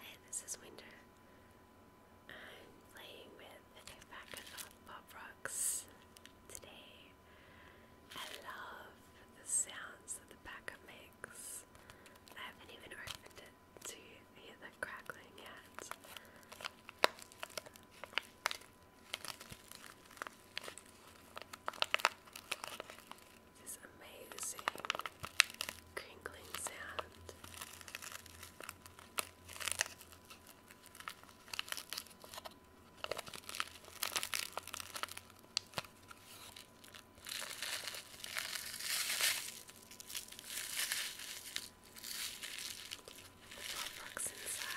Hey, this is Winter. I'm playing with a packet of Pop Rocks today. I love the sounds that the packet makes. I haven't even opened it to hear the crackling yet this amazing crinkling sound. The pop inside.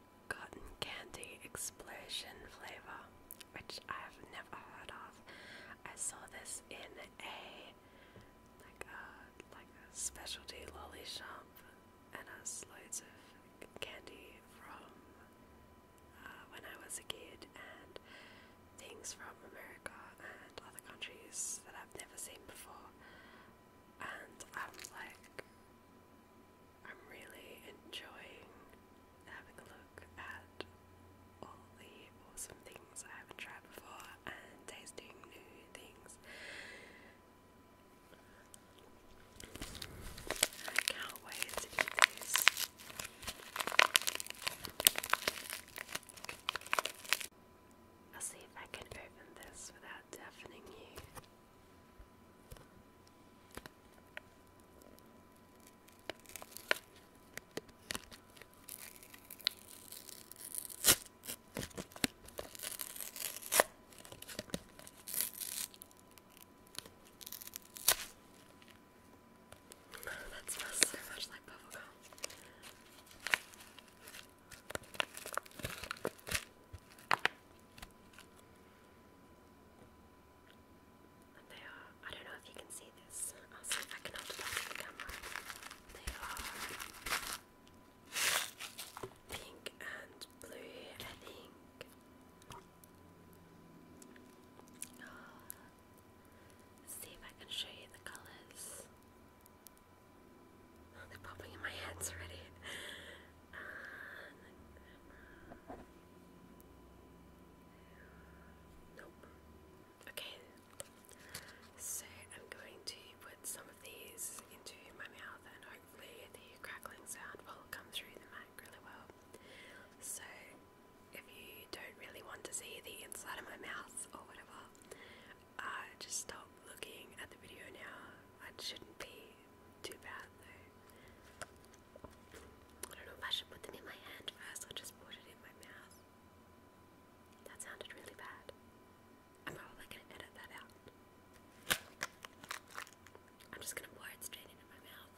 cotton candy explosion flavor, which I've never heard of. I saw this in a like a like specialty lolly shop and has loads of candy from uh, when I was a kid and things from America and other countries that I've never seen before. And I'm like, I'm really enjoying having a look at all the awesome things I haven't tried before and tasting new things. I can't wait to eat these. I'll see if I can open this without deafening you. That smells so much like bubblegum. And they are, I don't know if you can see this, I'll see if I can hold it up to the camera. They are pink and blue, I think. Ah. see if I can show you the colours they're popping in my hands already. Uh, nope. Okay. So I'm going to put some of these into my mouth and hopefully the crackling sound will come through the mic really well. So if you don't really want to see the inside of my mouth or whatever, I just stop looking at the video now. It shouldn't be too bad though. I don't know if I should put them in my hand first or just put it in my mouth. That sounded really bad. I'm probably gonna edit that out. I'm just gonna pour it straight into my mouth.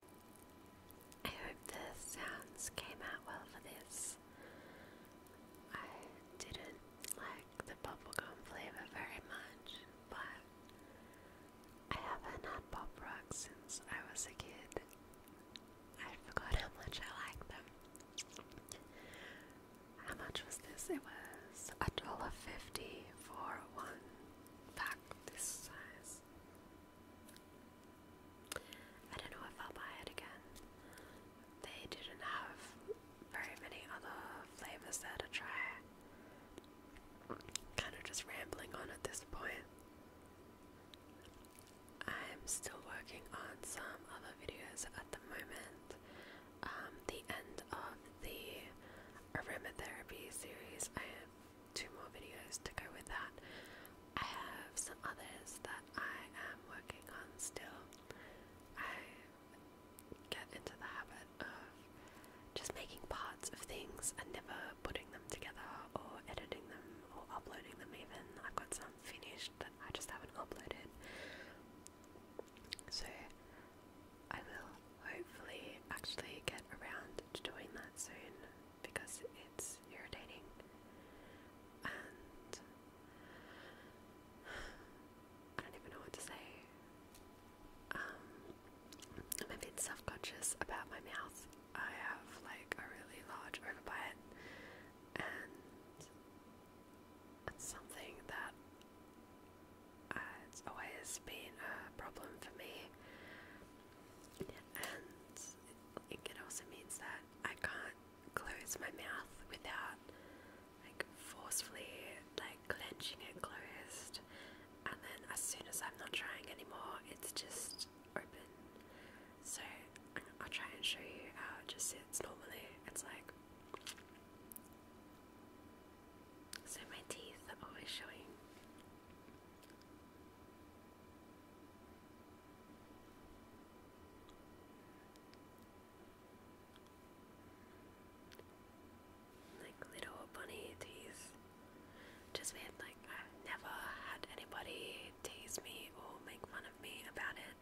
I hope the sounds came out well for this. I didn't like the bubblegum flavour very much, but I haven't had pop rocks since I was a kid. I forgot how much I liked them. How much was this? It was a dollar fifty for one pack this size. I don't know if I'll buy it again. They didn't have very many other flavors to try. Kind of just rambling on at this point. I'm still working on some other videos at the moment. Um, the end of the aromatherapy series I am two more videos to go with that. I have some others that I am working on still. I get into the habit of just making parts of things and never putting them together or editing them or uploading them even. I've got some finished that I just haven't uploaded. So I will hopefully actually get around to doing that soon because it's irritating and I don't even know what to say. Um, I'm a bit self conscious about my mouth. I have like a really large overbite and it's something that it's always been a problem for me, and it also means that I can't close my mouth without like forcefully like clenching it closed, and then as soon as I'm not trying anymore, it's just open. So I'll try and show you how it just sits normally. It's like so my teeth are always showing. Like little bunny teeth. Just weird, like I've never had anybody tease me or make fun of me about it,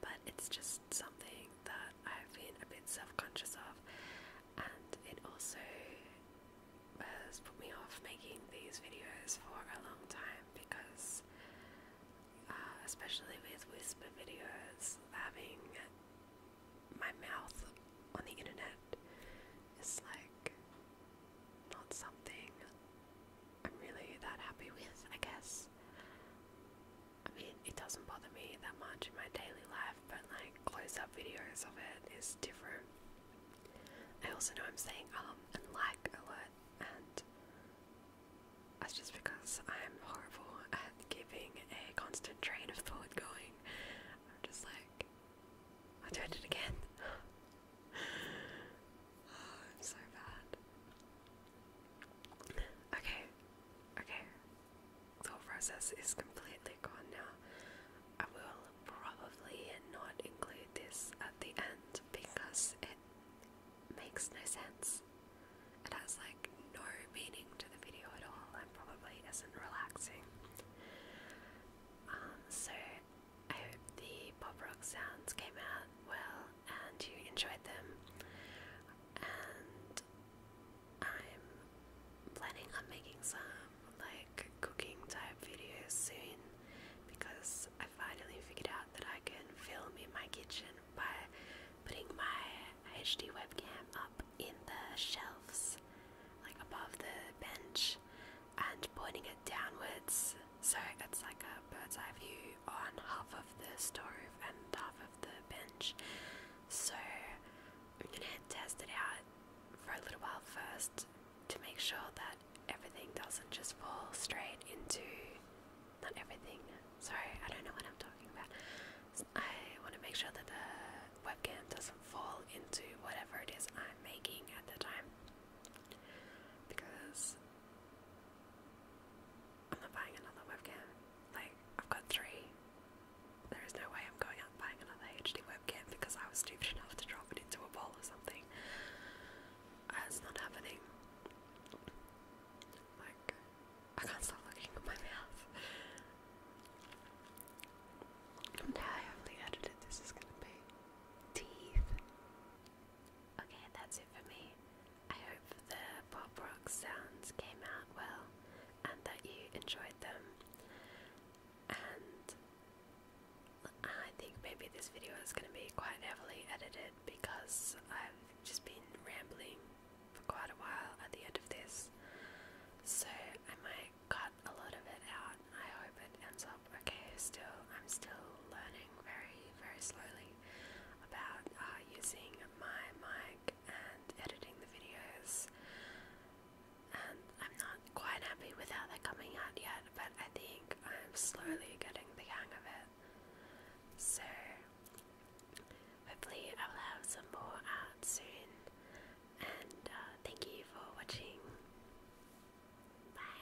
but it's just something that I've been a bit self conscious of and it also has put me off making these videos for a long time because, uh, especially with whisper videos, having my mouth on the internet is like not something I'm really that happy with, I guess. I mean, it doesn't bother me that much in my daily life, but like close up videos of it is different. I also know I'm saying um and like a lot, and that's just because I'm horrible at giving a constant train of thought going. I'm just like, I do it again. I'm so bad. Okay, okay. The process is completely gone now. I will probably not include this at the end because it makes no sense. It has like no meaning to the video at all and probably isn't relaxing. Um, so I hope the pop rock sounds came out well and you enjoyed them. And I'm planning on making some like cooking type videos soon because I finally figured out that I can film in my kitchen by putting my HD webcam up in the shelves, like above the bench, and pointing it downwards so it's like a bird's eye view on half of the stove and half of the bench. So I'm gonna test it out for a little while first to make sure that everything doesn't just fall straight into not everything. Sorry, I don't know what I'm talking about. I want to make sure that the webcam doesn't fall into whatever it is I'm making at the time because I'm not buying another webcam. Like, I've got three. There is no way I'm going out and buying another HD webcam because I was stupid enough to drop it into a bowl or something. Uh, not happening. Like, I can't stop looking at my mouth. Now I edited this is gonna be. Teeth. Okay, that's it for me. I hope the pop rock sounds came out well and that you enjoyed them. And I think maybe this video is going to be quite heavily edited because I've just been rambling for quite a while at the end of this. So I might cut a lot of it out. I hope it ends up okay. Still, I'm still learning very, very slowly about uh, using my mic and editing the videos. And I'm not quite happy with how they're coming out yet, but I think I'm slowly getting the hang of it. So, hopefully, I will have some more out soon. And uh, thank you for watching. Bye.